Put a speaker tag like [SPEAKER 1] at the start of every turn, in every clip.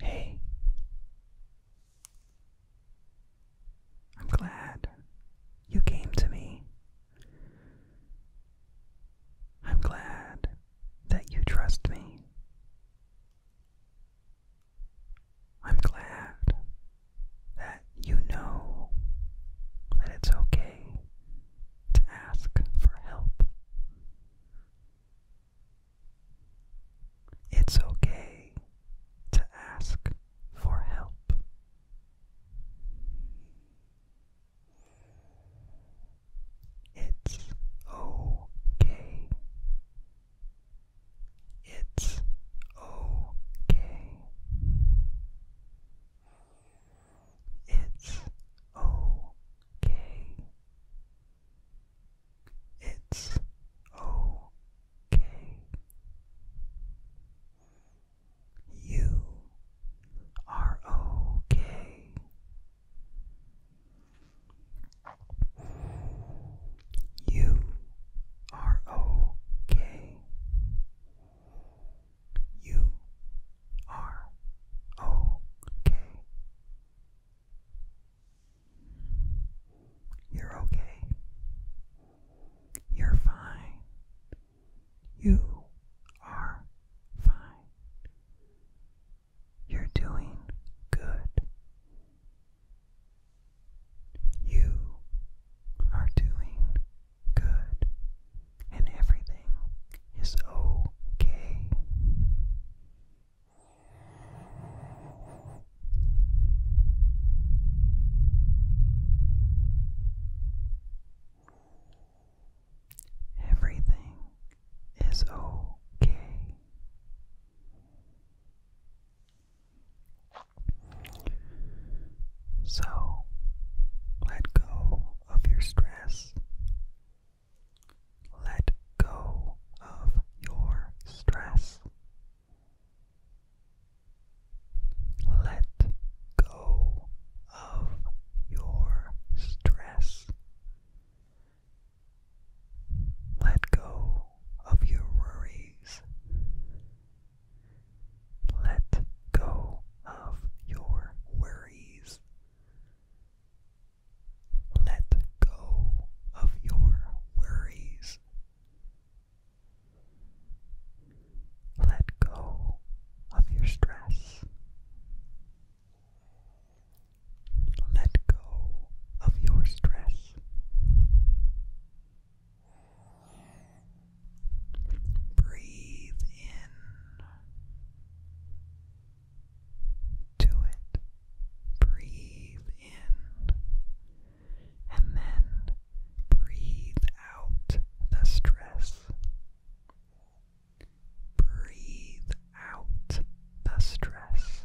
[SPEAKER 1] Hey, I'm glad you came to me. I'm glad that you trust me. I'm glad that you know that it's okay to ask for help. It's okay to ask for help. It's okay. It's okay. It's okay. It's okay. You are okay. You are okay. You are okay. You're okay. You're fine. You are fine. You're doing good. You are doing good, and everything is okay. Everything is okay. So, let go of your stress. Let go of your stress. Let go of your stress. Let go of your worries. Let go of your worries. Let go of your worries. Let go of your stress. Let go of your stress. Breathe in to it. Breathe in. And then breathe out the stress. Breathe out the stress.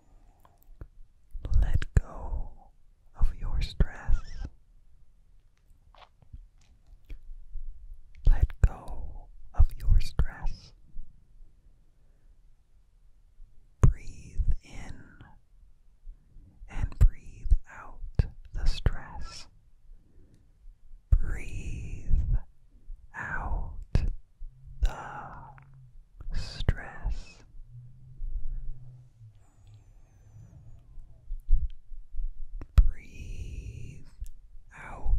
[SPEAKER 1] Let go of your stress. Let go of your stress. Breathe in and breathe out the stress. Breathe out the stress. Breathe out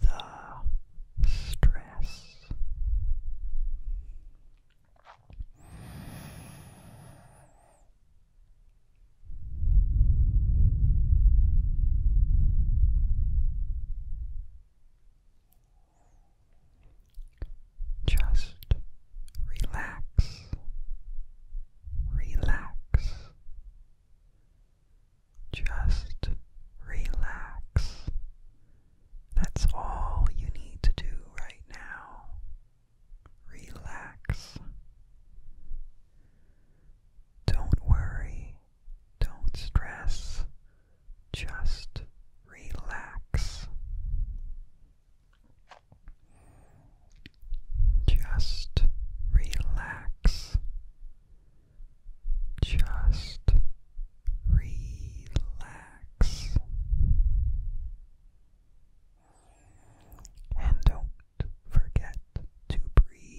[SPEAKER 1] the stress. Just relax, relax, just relax. That's all you need to do right now. Relax. Don't worry don't stress, just relax. Just relax. Just relax. And don't forget to breathe.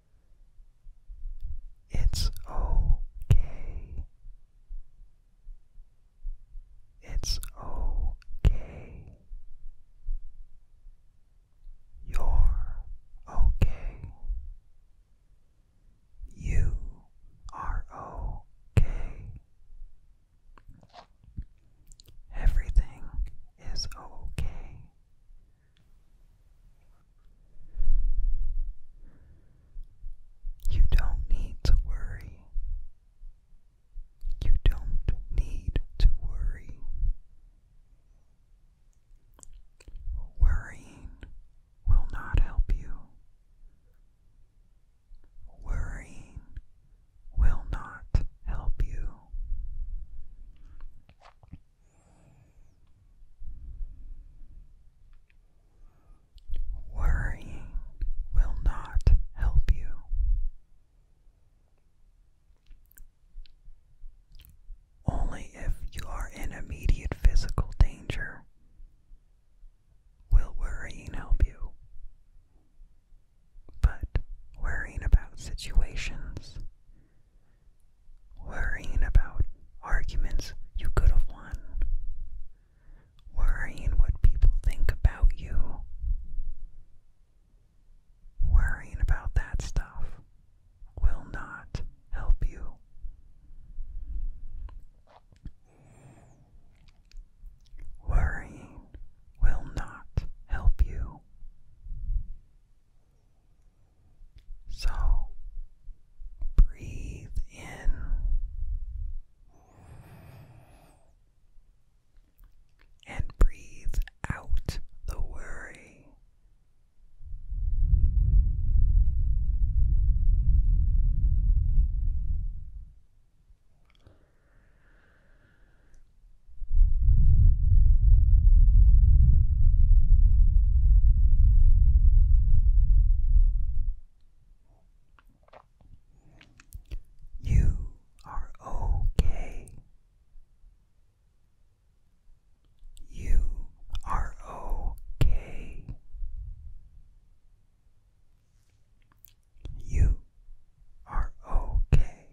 [SPEAKER 1] It's okay. It's okay. You're okay. You are okay. Everything is okay. You don't need to worry. You don't need to worry. Worrying will not help you. Worrying will not help you. Worrying will not help you. Only if you are in immediate physical danger will worrying help you. But worrying about situations worrying about arguments you could have won, worrying what people think about you, worrying about that stuff will not help you. Worrying will not help you. So breathe in and breathe out the worry. You are okay. You are okay. You are okay.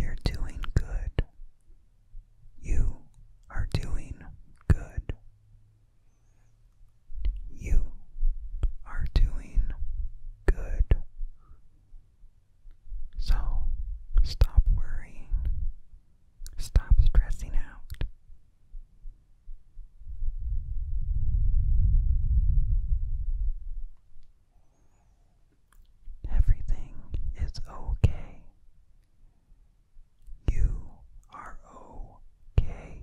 [SPEAKER 1] You're doing good. You are doing good. You are doing good. So stop worrying. Stop stressing out. Everything is okay. You are okay.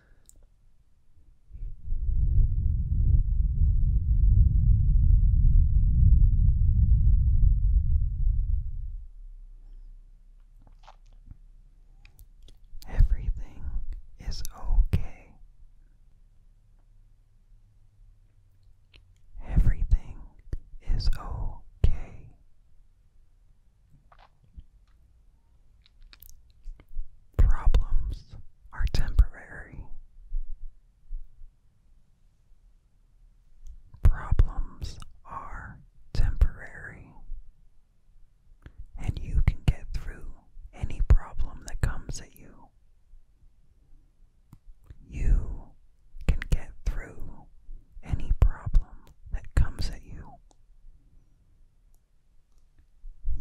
[SPEAKER 1] Everything is okay. Everything is okay. Problems are temporary. Problems are temporary. And you can get through any problem that comes at you. You can get through any problem that comes at you.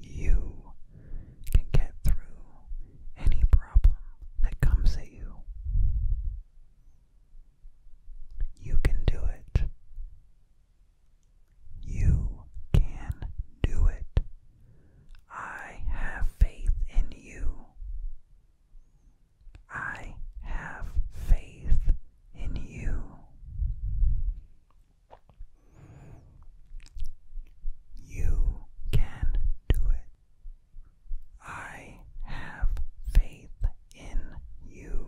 [SPEAKER 1] You can get through any problem that comes at you. You can do it. You can do it. I have faith in you. I have faith in you. You can do it. I have faith in you.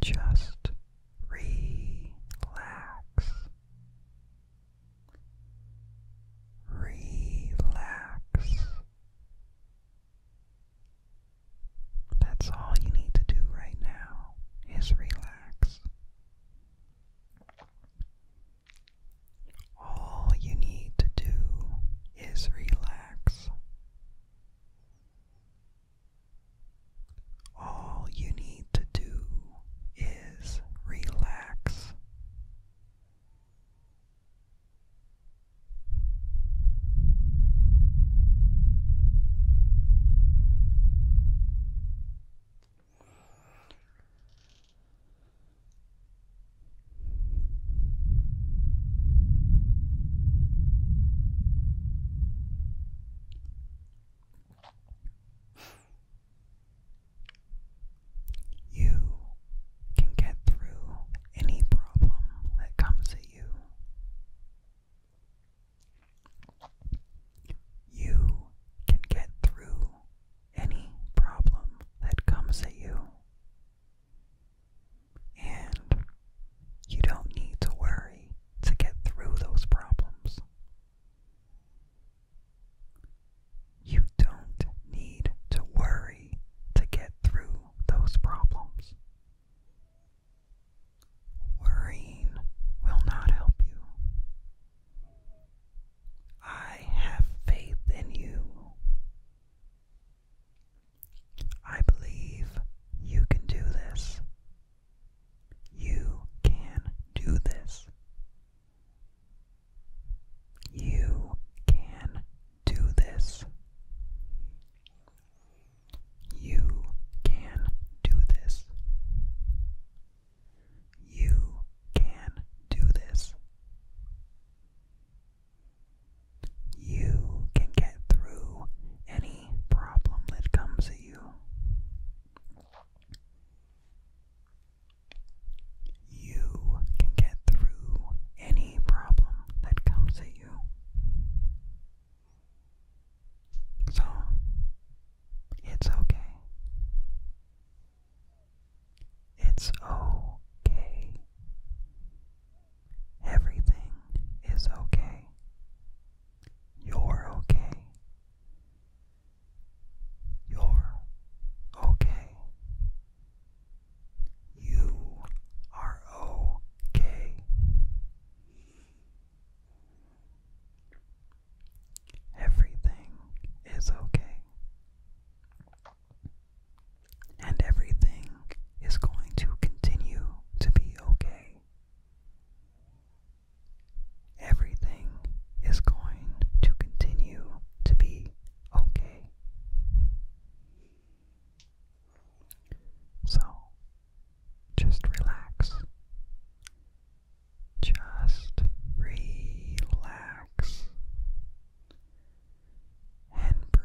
[SPEAKER 1] Just relax. Relax. That's all you need to do right now is relax. All you need to do is relax. All you need to do is relax. You can get through any problem that comes at you. You can get through any problem that comes at you. And you don't need to worry to get through those problems. You don't need to worry to get through those problems. Worrying will not help you. I have faith in you. I believe you can do this. You can do this. You can do this. You can do this. You can do this you can get through any problem that comes at you. You can get through any problem that comes at you. So, it's okay. It's okay. Everything is okay. You're okay. You're okay. You are okay. Everything is okay and everything is going to continue to be okay. Everything is going to continue to be okay. So, just relax. Just relax and breathe.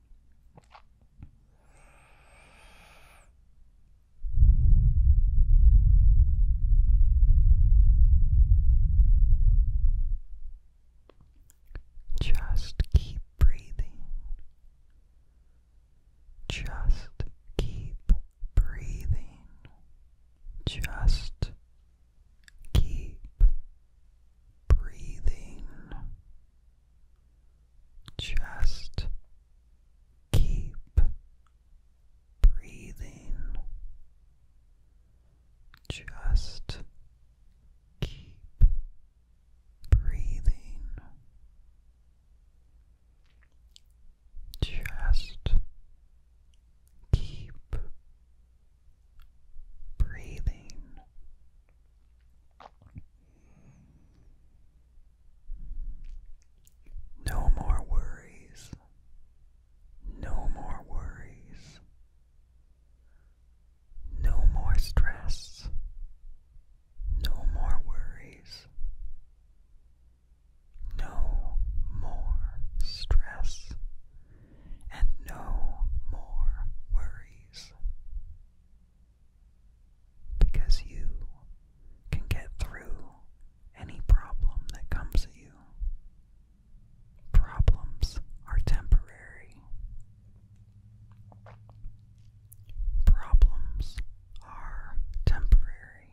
[SPEAKER 1] Just keep breathing. Just keep breathing. Just keep breathing. Just keep breathing. Just keep breathing. Just keep breathing. No more worries. No more worries. No more stress. No more worries. No more stress. And no more worries. Because you can get through any problem that comes at you. Problems are temporary. Problems are temporary.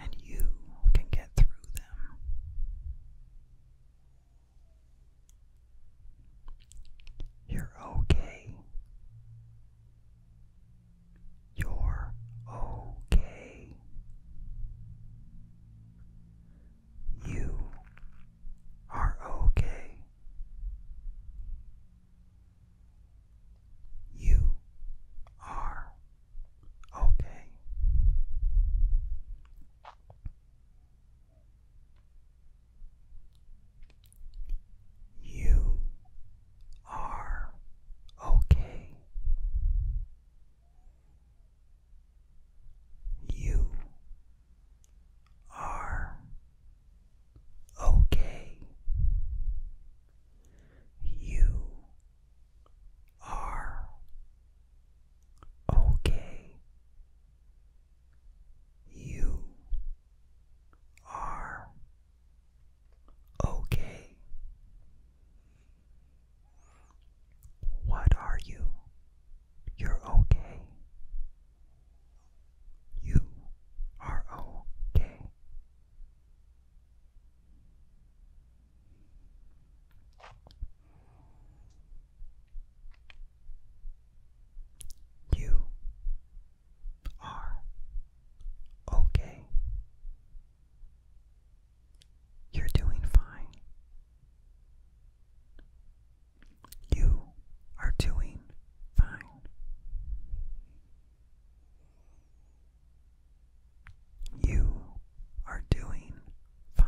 [SPEAKER 1] And you can get through them. You're okay. You're okay. You are okay. You are okay. You are okay. You are okay. You are okay. You are okay. What are you? You're okay. You are okay. You are okay. You're doing fine. You are doing fine. You are doing fine.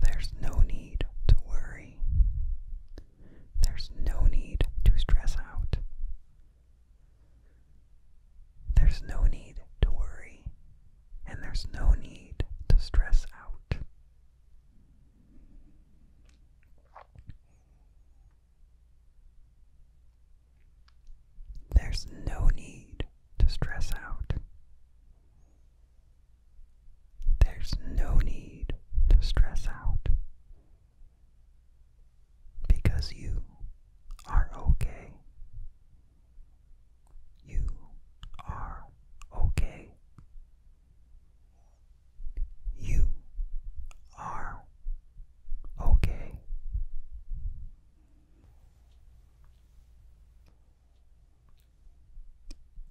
[SPEAKER 1] There's no need to worry. There's no need to stress out. There's no need to worry, and there's no need to stress out. There's no need to stress out. There's no need to stress out. Because you are okay. You are okay. You are okay.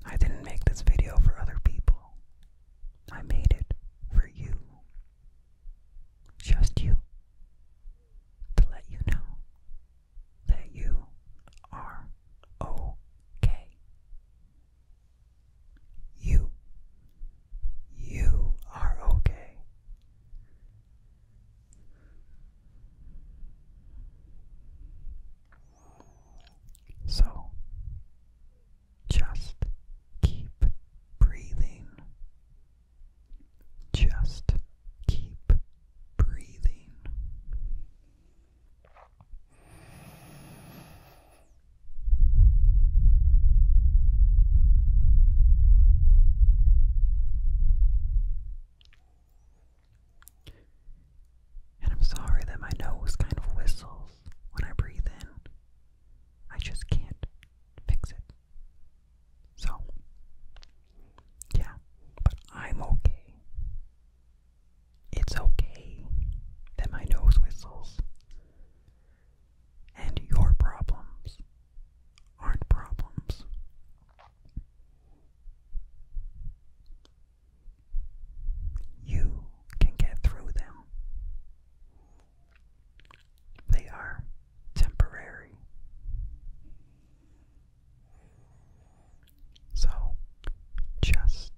[SPEAKER 1] I didn't make this video for other people. I made it for you. Just you. To let you know that you are okay. You. You are okay. So just keep breathing. Just keep breathing. And I'm sorry that my nose kind of whistles when I breathe in. I just can't fix it. So, yeah, but I'm okay. It's okay that my nose whistles. And your problems aren't problems. You can get through them. They are temporary. So just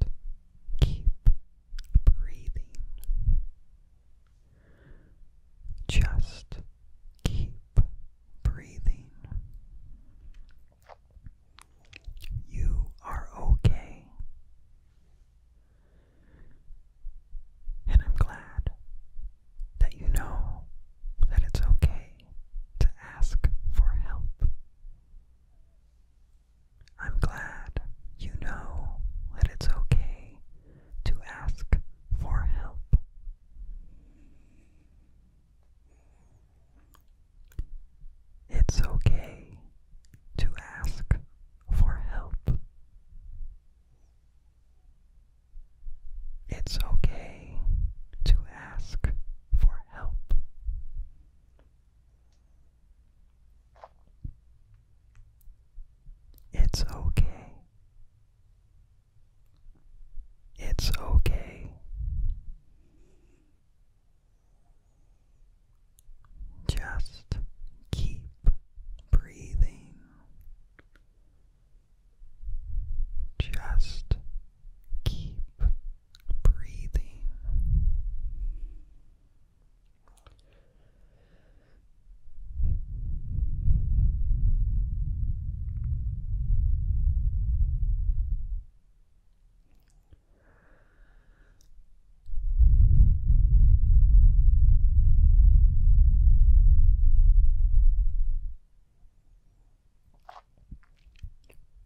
[SPEAKER 1] keep breathing. Just keep breathing. You are okay. And I'm glad that you know that it's okay to ask for help. I'm glad you know that it's okay to ask for help it's okay to ask for help. It's okay to ask for help. It's okay it's okay. Just keep breathing. Just keep breathing.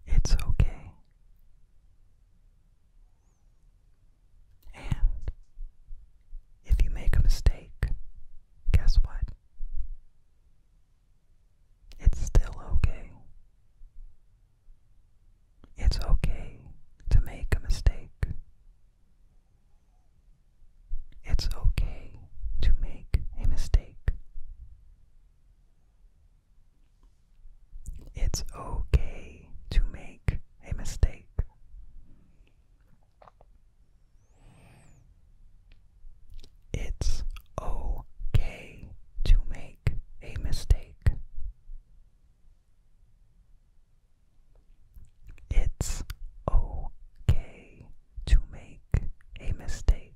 [SPEAKER 1] It's okay. And if you make a mistake, guess what? It's still okay. It's okay to make a mistake. It's okay to make a mistake. It's okay to make a mistake. It's okay to make a mistake. It's okay to make a mistake.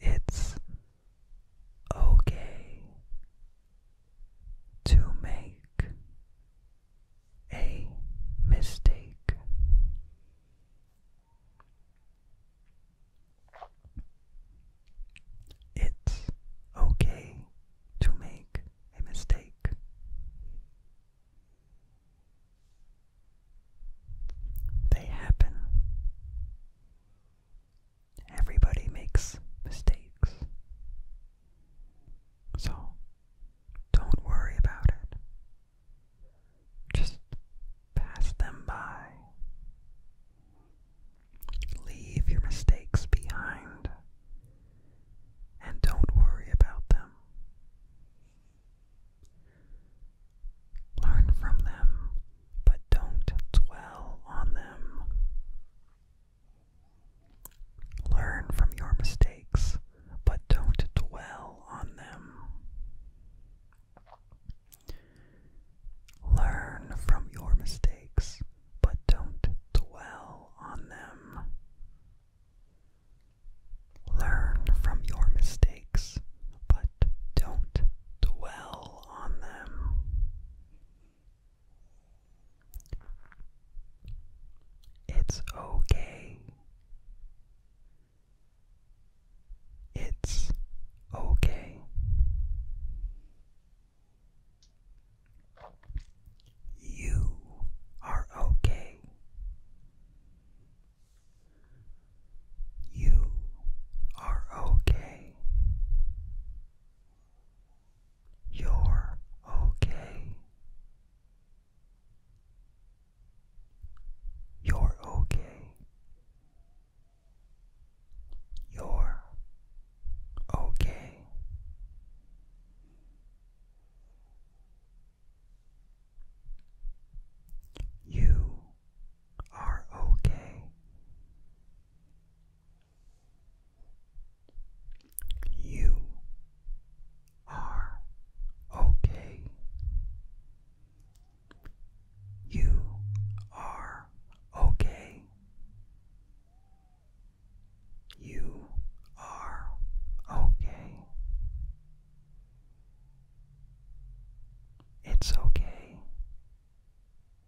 [SPEAKER 1] It's okay to make a mistake. It's okay to make a mistake. They happen. Everybody makes mistakes. So, don't worry about it. Just pass them by. Leave your mistakes behind and don't worry about them. Learn from them, but don't dwell on them. Learn from your mistakes, but don't dwell on them. Learn from your mistakes, but don't dwell on them. Learn from your mistakes, but don't dwell on them. It's okay. It's okay. You are okay. You are okay. You're okay. You're okay. You're okay. You are okay. You are okay. You are okay. You are okay. It's okay.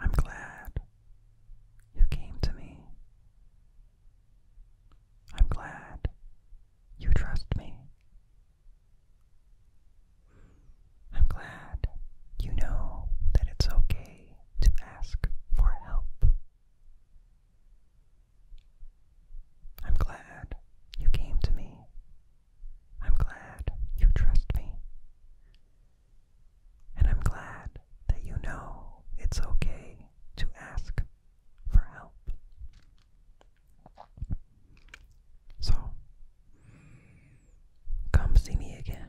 [SPEAKER 1] I'm glad you came to me. I'm glad you trust me. I'm glad you know that it's okay to ask for help. I'm glad you came to me. I'm glad you trust me. And I'm glad that you know it's okay to ask for help. So, come see me again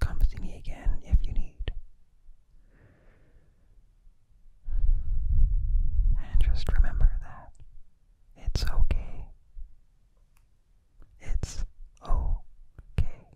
[SPEAKER 1] Come see me again if you need. And just remember that it's okay. It's okay.